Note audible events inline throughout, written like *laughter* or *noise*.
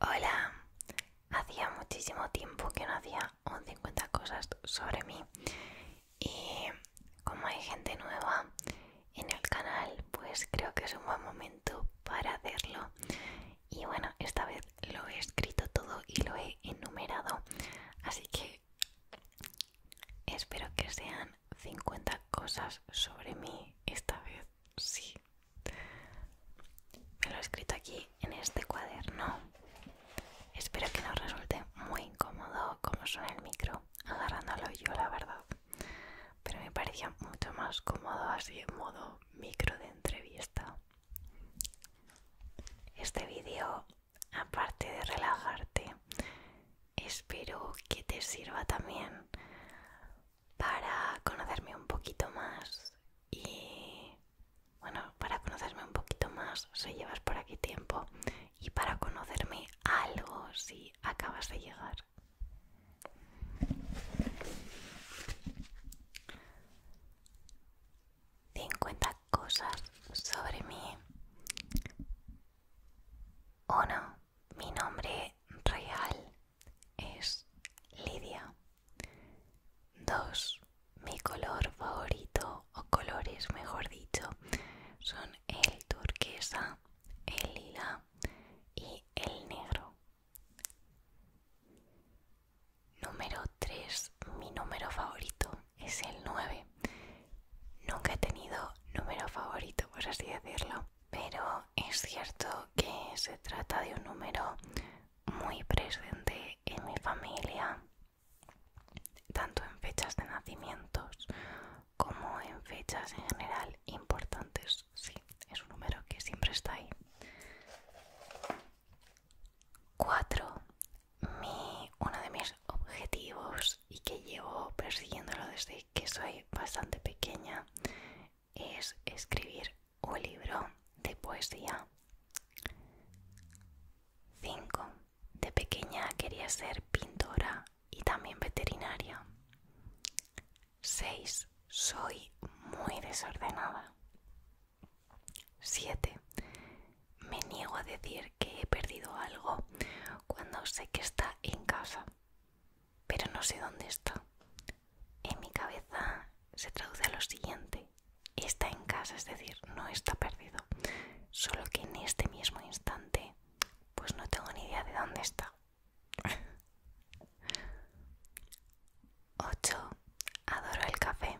Hola, hacía muchísimo tiempo que no hacía un 50 cosas sobre mí y como hay gente nueva en el canal pues creo que es un buen momento para hacerlo y bueno esta vez lo he escrito todo y lo he enumerado así que espero que sean 50 cosas sobre mí esta vez sí me lo he escrito aquí en este cuaderno. Espero que no resulte muy incómodo como suena el micro, agarrándolo yo, la verdad. Pero me parecía mucho más cómodo así en modo micro de entrevista. Este vídeo, aparte de relajarte, espero que te sirva también para conocerme un poquito más y bueno, para conocerme un poquito más si llevas por aquí tiempo y para conocerme algo si acabas de llegar. 50 cosas sobre mí. Uno, mi nombre real es Lidia. 2. Mi color favorito o colores, mejor dicho, son el turquesa, el lila y el negro. Número 3. Mi número favorito es el 9. Nunca he tenido número favorito, por así decirlo pero es cierto que se trata de un número muy presente en mi familia, tanto en fechas de nacimientos como en fechas en general importantes. Sí, es un número que siempre está ahí. 4. uno de mis objetivos y que llevo persiguiéndolo desde que soy bastante pequeña es escribir o libro de poesía. 5. De pequeña quería ser pintora y también veterinaria. 6. Soy muy desordenada. 7. Me niego a decir que he perdido algo cuando sé que está en casa pero no sé dónde está. En mi cabeza se traduce a lo siguiente. Está en casa, es decir, no está perdido. Solo que en este mismo instante, pues no tengo ni idea de dónde está. 8. Adoro el café.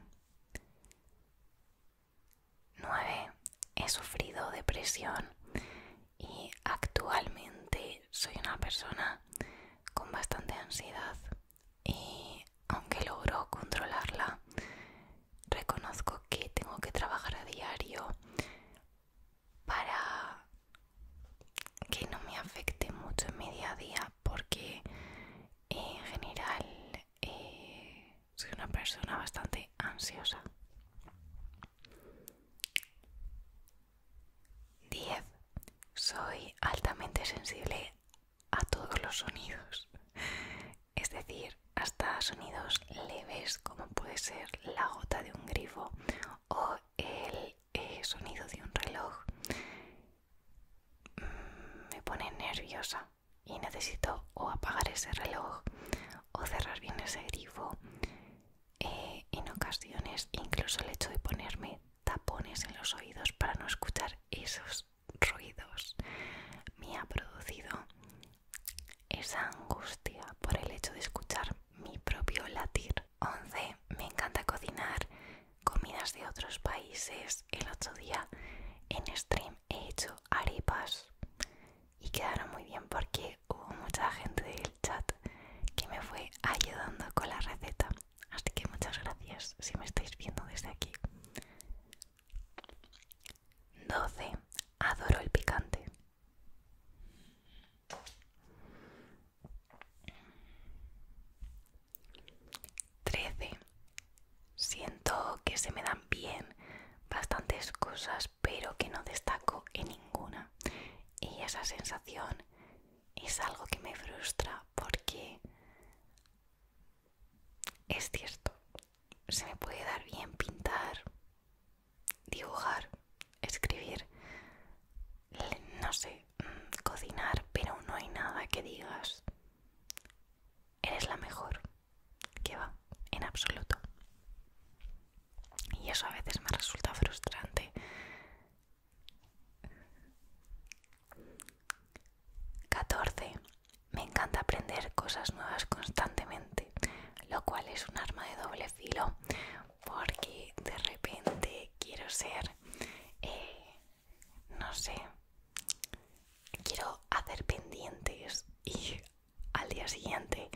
9. He sufrido depresión y actualmente soy una persona con bastante ansiedad y aunque logro controlarla, reconozco que tengo que trabajar a diario para que no me afecte mucho en mi día a día porque en general eh, soy una persona bastante ansiosa 10. Soy altamente sensible a todos los sonidos, es decir, hasta sonidos leves como puede ser la gota de un grifo o el eh, sonido de un reloj. Mm, me pone nerviosa y necesito o apagar ese reloj o cerrar bien ese grifo eh, en ocasiones incluso el hecho de ponerme tapones en los oídos para no escuchar esos ruidos me ha producido esa angustia por el hecho de escuchar mi propio latir. 11. Me encanta cocinar comidas de otros países. El otro día en stream he hecho arepas y quedaron muy bien porque hubo mucha gente del chat que me fue ayudando con la receta. Así que muchas gracias si me estáis viendo desde aquí. 12. Adoro el picante. 13. Siento que se me dan bien bastantes cosas, pero que no destaco en ninguna. Y esa sensación es algo que me frustra porque es cierto, se me puede dar bien pintar, dibujar, escribir, no sé, mm, cocinar, pero no hay nada que digas, eres la mejor, que va, en absoluto. Y eso a veces me resulta frustrante 14. Me encanta aprender cosas nuevas constantemente, lo cual es un arma de doble filo, porque de repente quiero ser, eh, no sé, quiero hacer pendientes y al día siguiente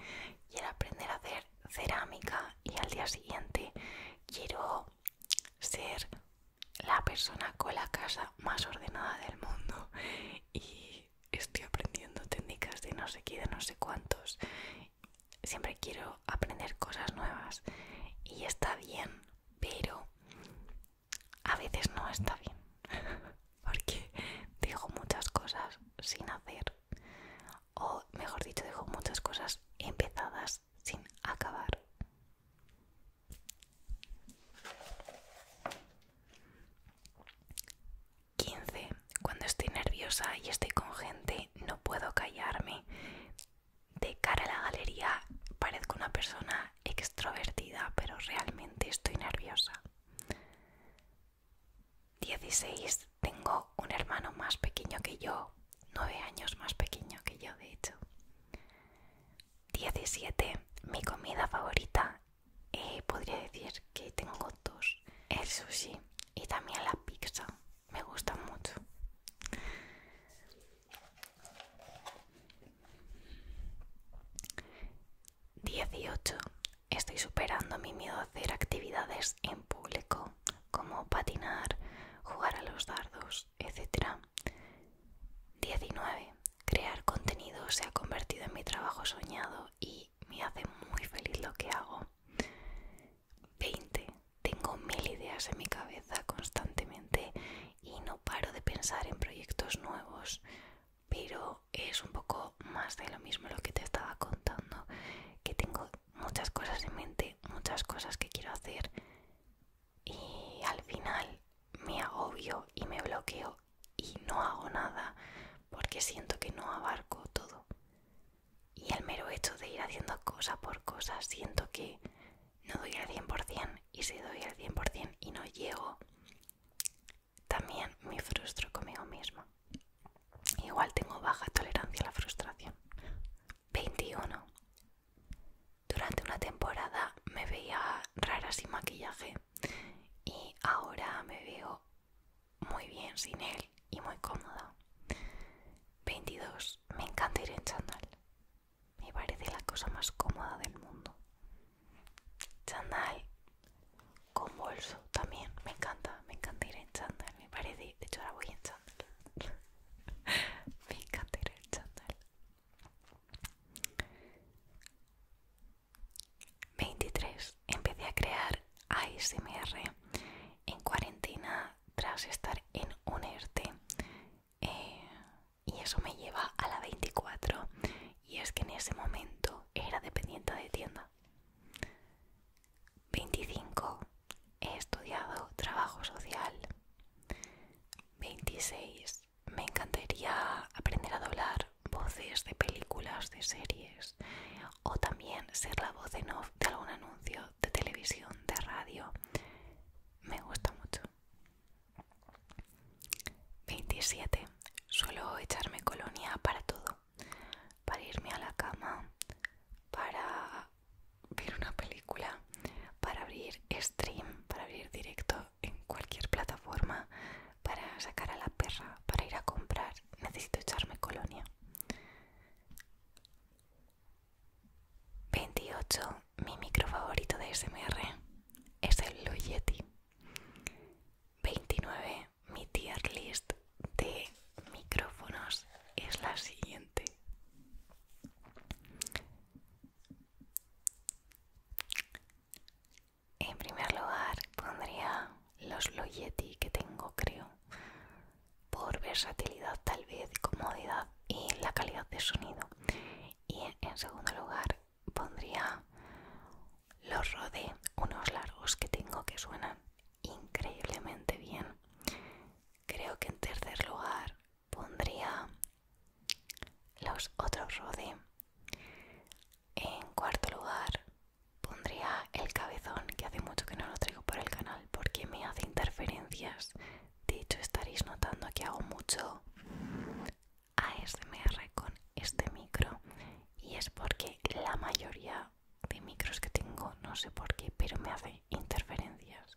quiero aprender a hacer cerámica y al día siguiente quiero ser la persona con la casa más ordenada del mundo y estoy aprendiendo técnicas de no sé qué, de no sé cuántos. Siempre quiero aprender cosas nuevas y está bien, pero a veces no está bien *laughs* porque dejo muchas cosas sin hacer o mejor dicho dejo muchas cosas empezadas sin acabar 15. cuando estoy nerviosa y estoy con gente, no puedo callarme. De cara a la galería parezco una persona extrovertida, pero realmente estoy nerviosa. 16. Tengo un hermano más pequeño que yo, 9 años más pequeño que yo, de hecho. 17. Mi comida favorita, eh, podría decir que tengo dos. El sushi y también la pizza. Me gusta mucho. Dieciocho. Estoy superando mi miedo a hacer actividades en público como patinar, jugar a los dardos, etc. 19. Crear contenido se ha convertido en mi trabajo soñado y me hace muy feliz lo que hago. 20. Tengo mil ideas en mi cabeza constantemente y no paro de pensar en proyectos nuevos, pero es un poco más de lo mismo lo que te estaba contando, que tengo muchas cosas en mente, muchas cosas que quiero hacer y al final me agobio y me bloqueo y no hago nada porque siento que no abarco todo. Y el mero hecho de ir haciendo cosa por cosa siento que no doy al 100% y si doy al 100% y no llego, también me frustro conmigo misma. Igual tengo baja tolerancia a la frustración. 21. Durante una temporada me veía rara sin maquillaje y ahora me veo muy bien sin él y muy cómoda. 22. Me encanta ir en chandal. Me parece la cosa más cómoda del mundo. Chandal con bolso también. Me encanta, me encanta ir en chandal. Me parece, de hecho ahora voy en chandal. 23. *laughs* Empecé a crear ASMR en cuarentena tras estar en un ERTE. Eh, y eso me lleva a la 24. Y es que en ese momento era dependiente de tienda. 25. He estudiado trabajo social. 26. Me encantaría aprender a doblar voces de películas, de series o también ser la voz en off de algún anuncio de televisión, de radio. Me gusta mucho. 27. Suelo echarme colonia para todo. Para irme a la cama, para ver una película, para abrir stream, para abrir directo en cualquier plataforma, para sacar a la perra, para ir a comprar. Necesito echarme colonia. 28. Mi micro favorito de SMR es el Loyeti. 29. Mi tier list de micrófonos es la siguiente. En primer lugar pondría los Loyeti que tengo creo por versatilidad tal vez, comodidad y la calidad de sonido. Y en segundo lugar pondría los Rode, unos largos que tengo que suenan increíblemente bien. Creo que en tercer lugar pondría los otros rode En cuarto lugar pondría el cabezón, que hace mucho que no lo traigo por el canal porque me hace interferencias. De hecho, estaréis notando que hago mucho ASMR con este micro y es porque la mayoría de micros que tengo, no sé por qué, pero me hace interferencias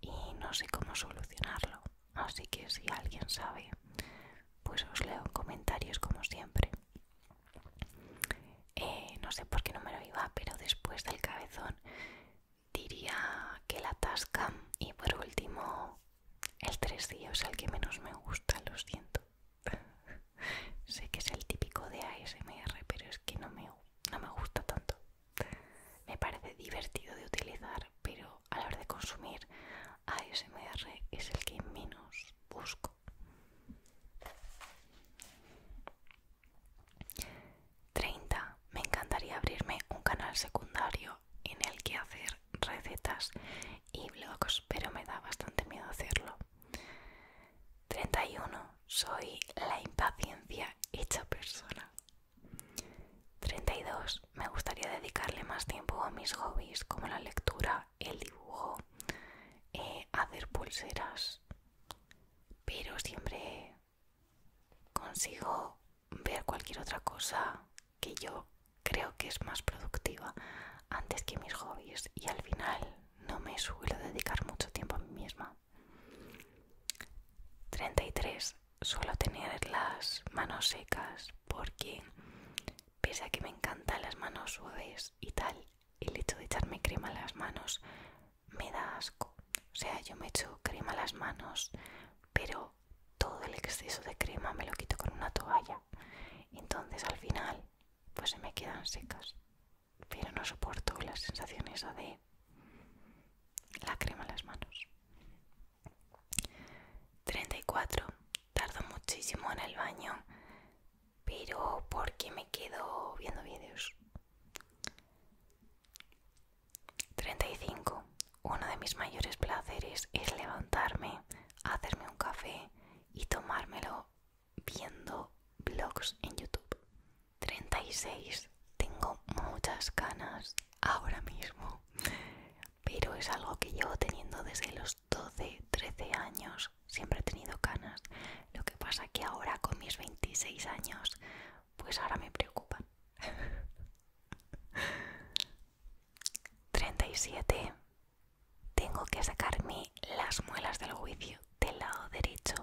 y no sé cómo solucionarlo. Así que si alguien sabe, pues os leo en comentarios como siempre. Eh, no sé por qué no me lo iba, pero después del cabezón diría que la tasca y por último el Tres días el que menos me gusta, lo siento. *laughs* sé que es el típico de ASMR, pero es que no me gusta tanto. Me parece divertido de utilizar, pero a la hora de consumir ASMR es el que menos busco. ¿30? Me encantaría abrirme un canal secundario en el que hacer recetas y blogs, pero me da bastante miedo hacerlo. 31. Soy la impaciencia hecha persona. 32. Me gustaría dedicarle más tiempo a mis hobbies como la lectura, el dibujo, eh, hacer pulseras. Pero siempre consigo ver cualquier otra cosa que yo creo que es más productiva antes que mis hobbies y al final no me suelo dedicar mucho tiempo a mí misma. 33. Suelo tener las manos secas porque, pese a que me encantan las manos suaves y tal, el hecho de echarme crema a las manos me da asco. O sea, yo me echo crema a las manos, pero todo el exceso de crema me lo quito con una toalla. Entonces al final, pues se me quedan secas pero no soporto la sensación esa de la crema en las manos. 34. Tardo muchísimo en el baño, pero porque me quedo viendo vídeos. 35. Uno de mis mayores placeres es levantarme, hacerme un café y tomármelo viendo blogs en YouTube. 36. Tengo muchas canas ahora mismo, pero es algo que llevo teniendo desde los 12, 13 años. Siempre he tenido canas. Lo que pasa que ahora con mis 26 años, pues ahora me preocupan. 37. *laughs* Tengo que sacarme las muelas del juicio del lado derecho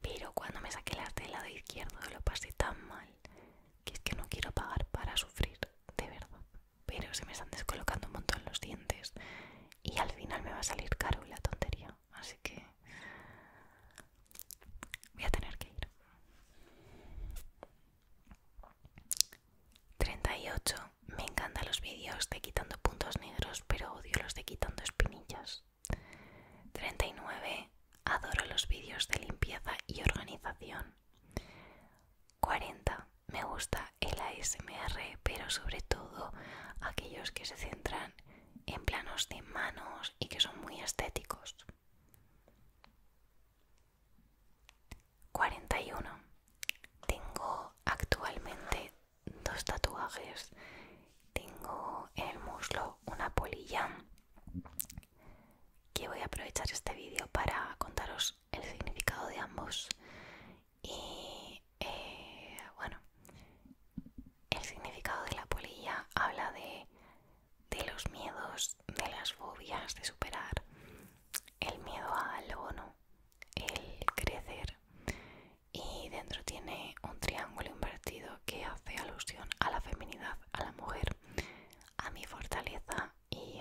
pero cuando me saqué las del lado izquierdo lo pasé tan mal que es que no quiero pagar para sufrir, de verdad. Pero se me están descolocando un montón los dientes y al final me va a salir caro la tontería, así que voy a tener que ir. 38. Me encantan los vídeos de quitando puntos negros, pero odio los de quitando espinillas. 39. Adoro los vídeos de limpieza y organización. 40. Me gusta el ASMR, pero sobre todo aquellos que se centran en planos de manos y que son muy estéticos. 41. Tengo actualmente dos tatuajes. Tengo en el muslo una polilla que voy a aprovechar este vídeo para contaros el significado de ambos. Y eh, bueno, el significado de la polilla habla de, los miedos, de las fobias, de superar el miedo al lo el crecer y dentro tiene un triángulo invertido que hace alusión a la feminidad, a la mujer, a mi fortaleza y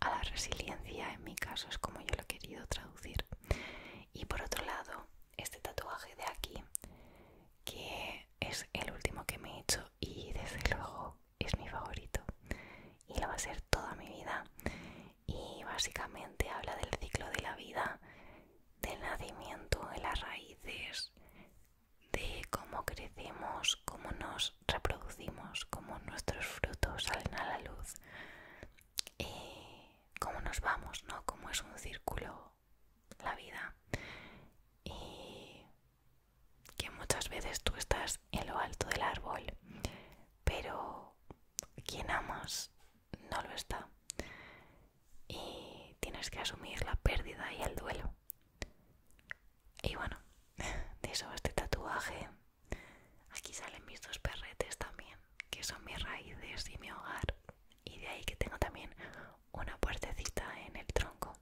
a la resiliencia, en mi caso es como yo lo he querido traducir. Y por otro lado, este tatuaje de aquí, que es el último que me he hecho y desde luego es mi favorito y lo va a ser toda mi vida. Y básicamente habla del ciclo de la vida del nacimiento de las raíces, de cómo crecemos, cómo nos reproducimos, cómo nuestros frutos salen a la luz, Y cómo nos vamos, ¿no? Cómo es un círculo la vida. Y que muchas veces tú estás en lo alto del árbol, pero ¿quién amas no lo está. Y tienes que asumir la pérdida y el duelo. Y bueno, *laughs* de eso este tatuaje. Aquí salen mis dos perretes también, que son mis raíces y mi hogar. Y de ahí que tengo también una puertecita en el tronco,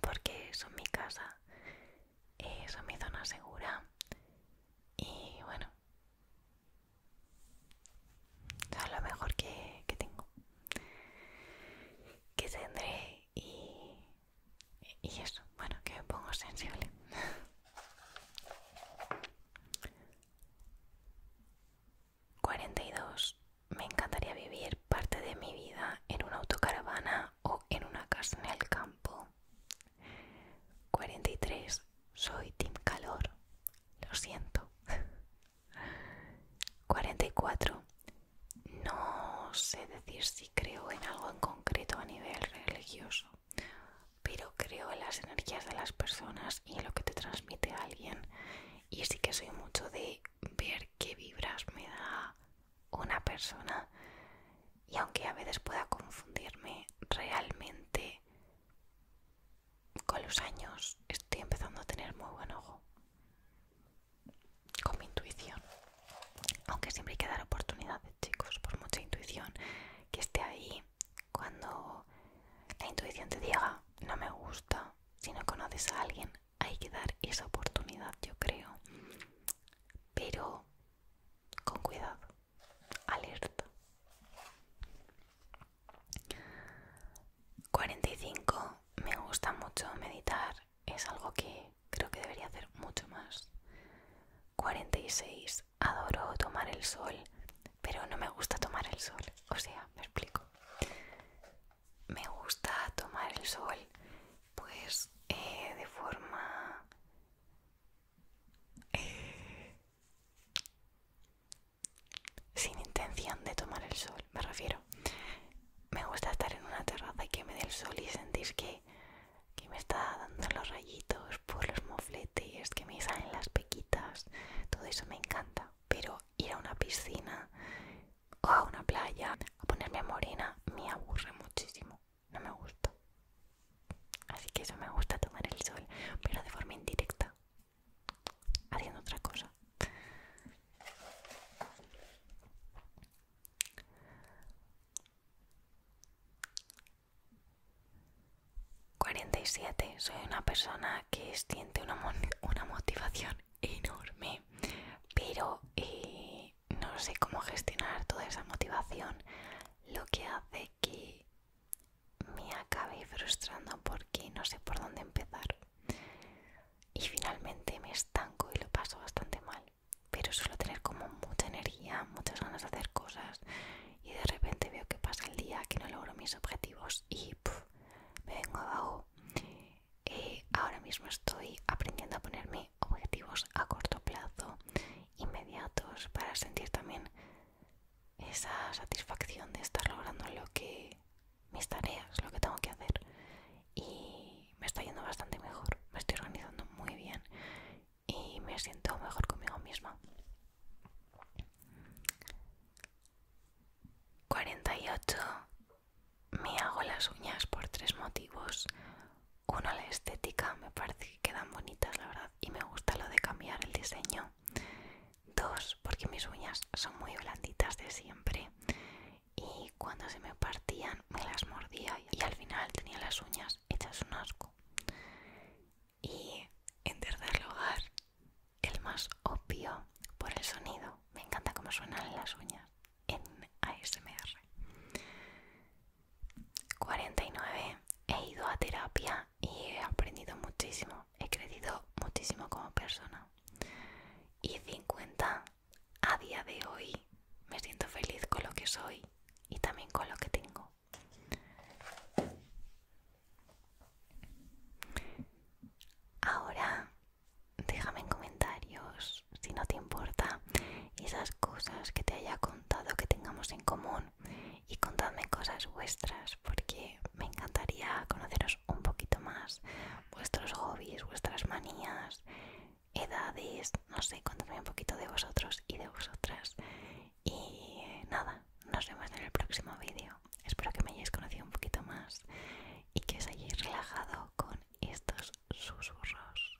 porque son mi casa, eh, son mi zona segura. Y bueno, es lo mejor que, tengo que tendré y, y eso bueno que me pongo sensible 42. *laughs* dos me encantaría vivir parte de mi vida en una autocaravana o en una casa en el campo 43 soy team calor lo siento *laughs* 44. No sé decir si creo en algo en concreto a nivel religioso, pero creo en las energías de las personas y en lo que te transmite alguien. Y sí que soy mucho de ver qué vibras me da una persona. Y aunque a veces pueda confundirme, realmente con los años estoy empezando a tener muy buen ojo con mi intuición aunque siempre hay que dar oportunidades chicos por mucha intuición que esté ahí cuando la intuición te diga no me gusta si no conoces a alguien hay que dar esa oportunidad yo creo pero con cuidado alerta 45 me gusta mucho meditar, es algo que creo que debería hacer mucho más. 46 adoro tomar el sol, pero no me gusta tomar el sol, o sea, me explico. Me gusta tomar el sol pues eh, de forma... Eh, sin intención de tomar el sol, me refiero. Me gusta estar en una terraza y que me dé el sol y sentís que, me está dando los rayitos por los mofletes, que me salen las pequitas, todo eso me encanta. Pero ir a una piscina o a una playa a ponerme morena me aburre muchísimo, no me gusta. Así que eso me gusta tomar el sol, pero de forma indirecta, haciendo otra cosa. 47, Soy una persona que siente una, una motivación enorme, pero eh, no sé cómo gestionar toda esa motivación, lo que hace que me acabé frustrando porque no sé por dónde empezar. Y finalmente me estanco y lo paso bastante mal. Pero suelo tener como mucha energía, muchas ganas de hacer cosas y de repente veo que pasa el día, que no logro mis objetivos y me vengo abajo. Eh, ahora mismo estoy aprendiendo a ponerme objetivos a corto plazo, inmediatos, para sentir también esa satisfacción de estar logrando lo que mis tareas, lo que tengo que hacer y me está yendo bastante mejor, me estoy organizando muy bien y me siento mejor conmigo misma. 48. Me hago las uñas por tres motivos. Uno, la estética, me parece que quedan bonitas, la verdad, y me gusta lo de cambiar el diseño. Dos, porque mis uñas son muy blanditas de siempre y cuando se me partían me las mordía y al final tenía las uñas hechas un asco. Y en tercer lugar, el más obvio por el sonido. Me encanta cómo suenan las uñas en ASMR. 49. He ido a terapia y he aprendido muchísimo he crecido muchísimo como persona. Y 50 a día de hoy me siento feliz con lo que soy y también con lo que tengo. Ahora déjame en comentarios si no te importa esas cosas que te haya contado que tengamos en común y contadme cosas vuestras porque me encantaría conoceros un poquito más, vuestros hobbies, vuestras manías, edades, no sé, contarme un poquito de vosotros y de vosotras. Y nada, nos vemos en el próximo vídeo. Espero que me hayáis conocido un poquito más y que os hayáis relajado con estos susurros.